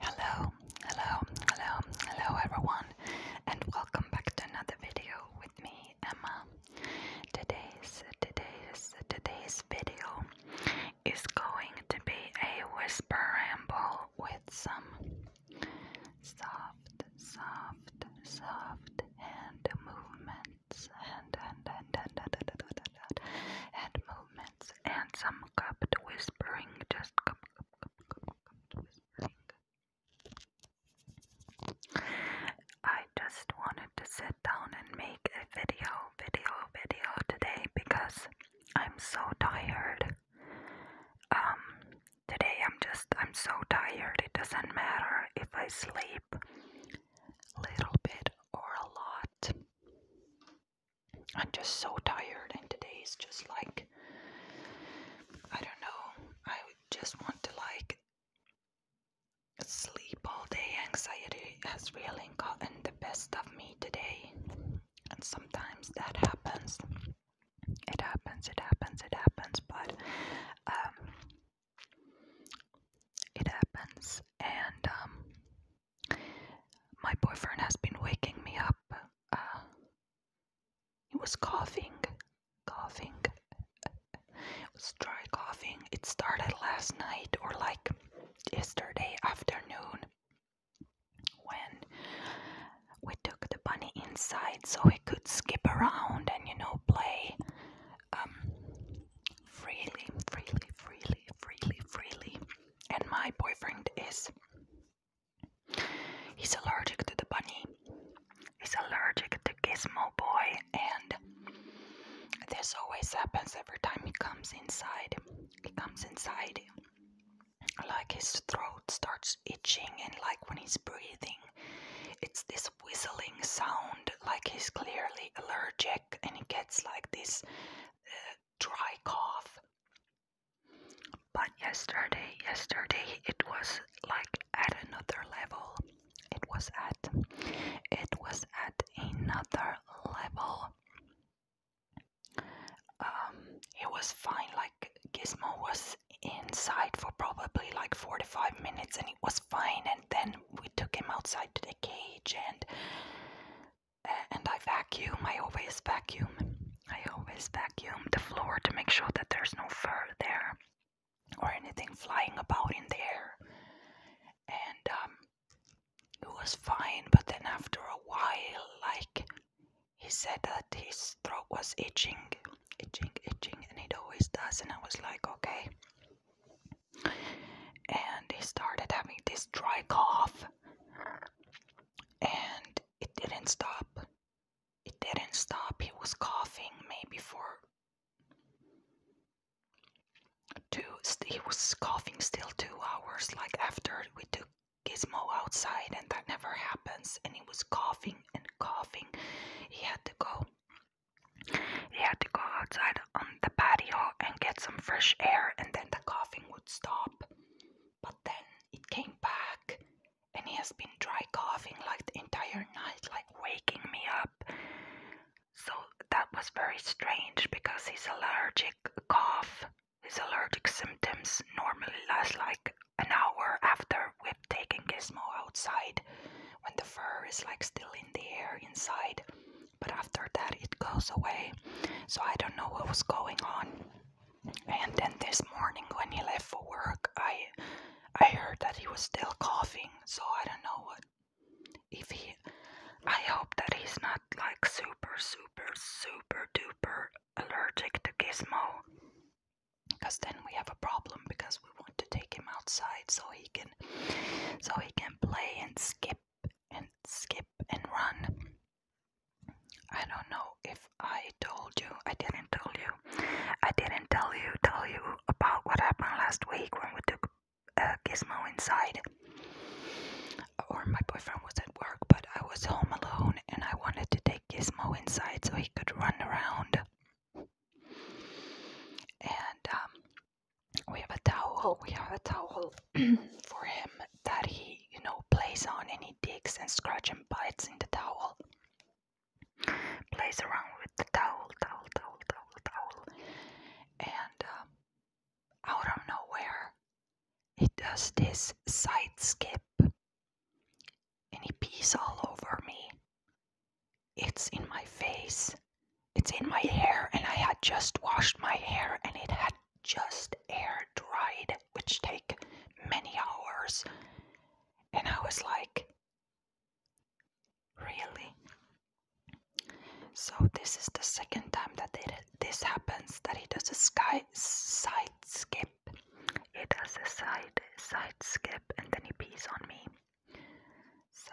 Hello, hello, hello, hello everyone, and welcome back to another video with me, Emma. Today's today's today's video is going to be a whisper ramble with some soft, soft, soft hand movements, hand, hand, hand, hand, hand, hand, hand, hand, hand, hand, hand movements silence, and some cupped whispering, just cup, cup, cup, cup, cup, whispering. I just wanted to sit down and make a video, video, video today because I'm so tired. Um, today I'm just, I'm so tired. It doesn't matter if I sleep a little bit or a lot. I'm just so tired, and today is just like I don't know. I just want to like sleep all day. Anxiety has really gotten the best of me today, and sometimes that happens. It happens. It happens. It happens. But um, it happens, and um, my boyfriend has been waking me up. Uh, he was coughing, coughing. it was dry coughing. It started last night or like yesterday afternoon when we took the bunny inside so he could skip around and you know play um, freely, freely, freely, freely, freely and my boyfriend is he's allergic to the bunny he's allergic to gizmo boy and this always happens every time he comes inside he comes inside like his throat starts itching and like when he's breathing it's this whistling sound like he's clearly allergic and he gets like this dry cough. But yesterday, yesterday it was like at another level. It was at, it was at another level. Um, it was fine. Like Gizmo was inside for probably like four to five minutes and it was fine. And then we took him outside to the cage and and I vacuum. I always vacuum. I always vacuum the floor to make sure that there's no fur there or anything flying about in the air. And um, it was fine, but then after a while, like he said that his throat was itching, itching, itching, and it always does. And I was like, okay, and he started having this dry cough and it didn't stop it didn't stop he was coughing maybe for two he was coughing still two hours like after we took gizmo outside and that never happens and he was coughing and coughing he had to go he had to go outside on the patio and get some fresh air, and then the coughing would stop. But then it came back, and he has been dry coughing like the entire night, like waking me up. So that was very strange because his allergic cough, his allergic symptoms normally last like an hour after we've taken Gizmo outside when the fur is like still in the air inside but after that it goes away. So I don't know what was going on. And then this morning when he left for work, I I heard that he was still coughing. So I don't know what if he I hope that he's not like super super super duper allergic to Gizmo. Because then we have a problem because because we want to take him outside so he can so he can play and skip and skip and run. I don't know if I told you. I didn't tell you. I didn't tell you tell you about what happened last week when we took uh, Gizmo inside. Or my boyfriend was at work, but I was home alone and I wanted to take Gizmo inside so he could run around. And um, we have a towel. We have a towel for him that he, you know, plays on and he digs and scratches and bites in the towel. Plays around with the towel, towel, towel, towel, towel. And um, out of nowhere, he does this side skip and he pees all over me. It's in my face. It's in my hair, and I had just washed my hair and it had just air dried, which take many hours. And I was like, really? So this is the second time that this happens, that he does a sky side skip. He does a side side skip and then he pees on me. So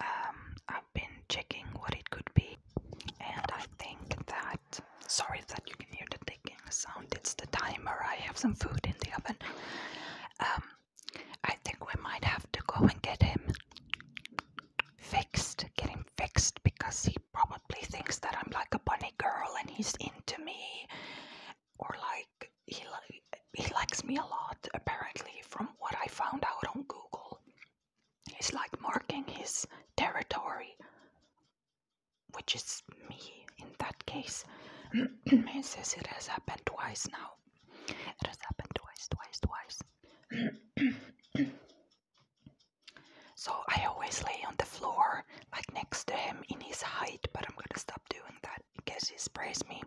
um, I've been checking what it could be, and I think that sorry that you can hear the ticking sound. It's the timer. I have some food in the oven. Um, I think we might have to go and get him fixed. Get him fixed because he probably thinks that I'm like a bunny girl and he's into me or like he he likes me a lot apparently from what I found out on Google. He's like marking his territory, which is me in that case. he says it has happened twice now. It has happened twice, twice, twice. so I always lay on the floor like next to him in his height, but I'm gonna stop doing that because he's he me.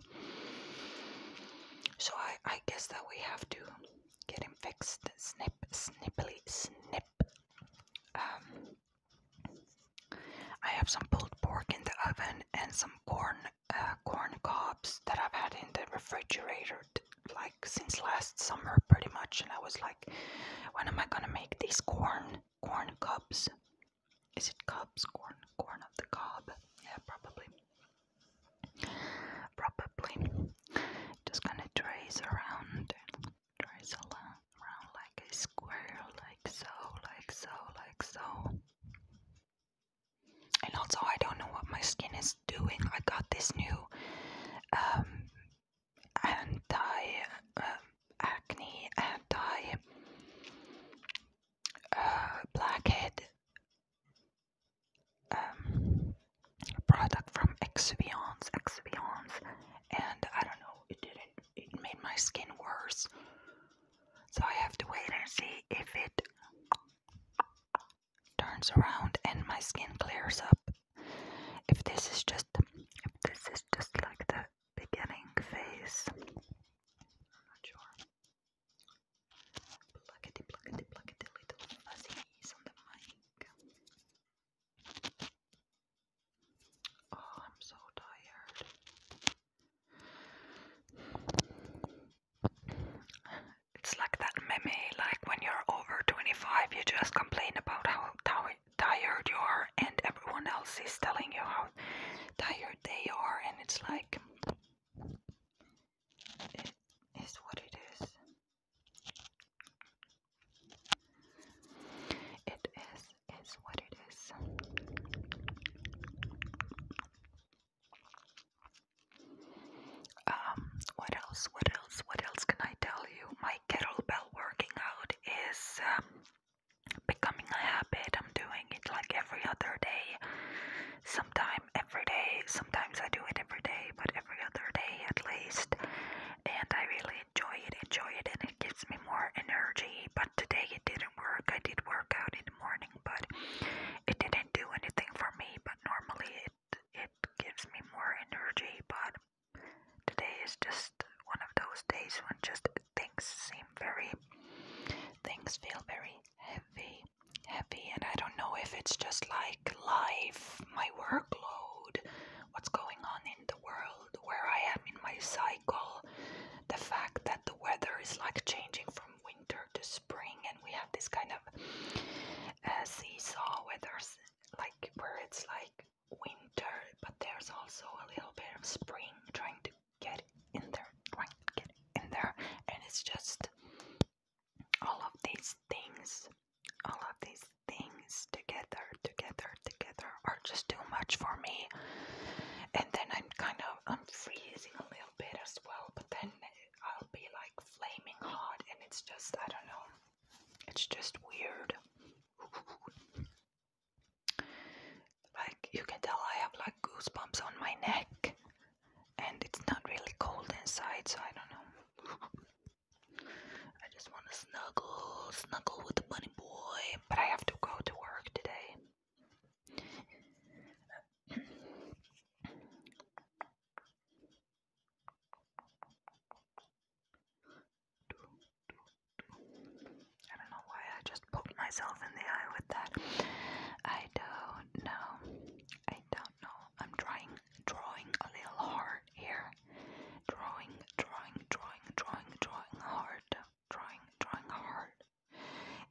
So I, I guess that we have to get him fixed. Snip, snippily, snip. Um, I have some pulled pork in the oven and some corn, uh, corn cobs that I've had in the refrigerator like since last summer, pretty much. And I was like, when am I gonna make this corn corn cobs. Is it cobs? Corn, corn of the cob. Yeah, probably. Probably. Just gonna trace around, trace around like a square, like so, like so, like so. And also, I don't know what my skin is doing. I got this new um, anti um, acne, anti uh, blackhead um, product from Exuviance, Exuviance, and I don't know, it didn't, it made my skin worse. So I have to wait and see if it turns around and my skin clears up if this is just if this is just like the beginning phase. I'm not sure. Oh, I'm so tired. It's like that meme, like when you're over 25, you just complain about how, how tired you are and everyone else is telling you how tired they are and it's like it is what it is it is is what it is um what else what else what else can I tell you my kettlebell working out is um, becoming a habit. I'm doing it like every other day, sometime every day. Sometimes I do it every day, but every other day at least. And I really enjoy it, enjoy it, and it gives me more energy. But today it didn't work. I did work out in the morning, but it didn't do anything for me. But normally it it gives me more energy, but today is just one of those days when just things seem very, things feel very heavy, heavy, and I don't know if it's just like life, my workload, what's going on in the world, where I am in my cycle, the fact that the weather is like changing from winter to spring, and we have this kind of uh, seesaw weather like where it's like winter, but there's also a little bit of spring trying to get in there, trying to get in there, and it's just all of these things, all of these things together, together, together are just too much for me. And then I'm kind of I'm freezing a little bit as well, but then I'll be like flaming hot, and it's just I don't know. It's just weird. like you can tell I have like goosebumps on my neck and it's not really cold inside so I don't know. I just want to snuggle, snuggle with the bunny boy, but I have to go to work today. I don't know why I just poked myself in the eye with that. I don't know. I don't know. I'm trying drawing a little hard here. Drawing, drawing, drawing, drawing, drawing hard. Drawing, drawing hard.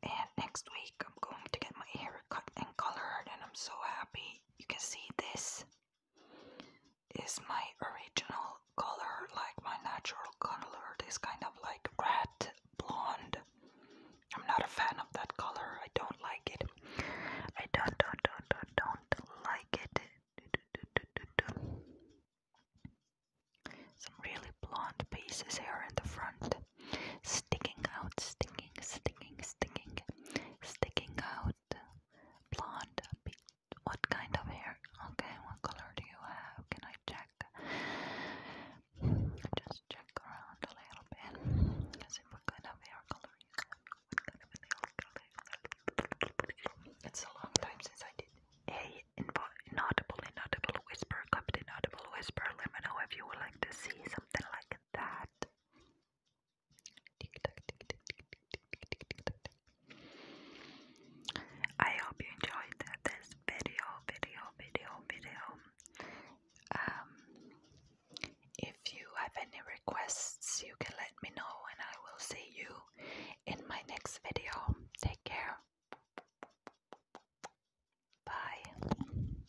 And next week I'm going to get my hair cut and colored and I'm so happy you can see this is my original color, like my natural color, this kind of like red blonde. I'm not a fan of that color. I don't like it. I don't, don't, don't, don't, don't like it. Some really blonde pieces here in the front, sticking out, sticking sticking, sticking, sticking, sticking out. Blonde. What kind of hair? Okay, what color do you have? Can I check? Just check around a little bit. let what kind of hair color you have. What kind of hair color? It's a long time since I did a inaudible, inaudible whisper, cupped inaudible whisper. Let me know if you would like to see something like that. I hope you enjoyed this video, video, video, video. Um, if you have any requests, you can let me know, and I will see you in my next video. Take care. Bye.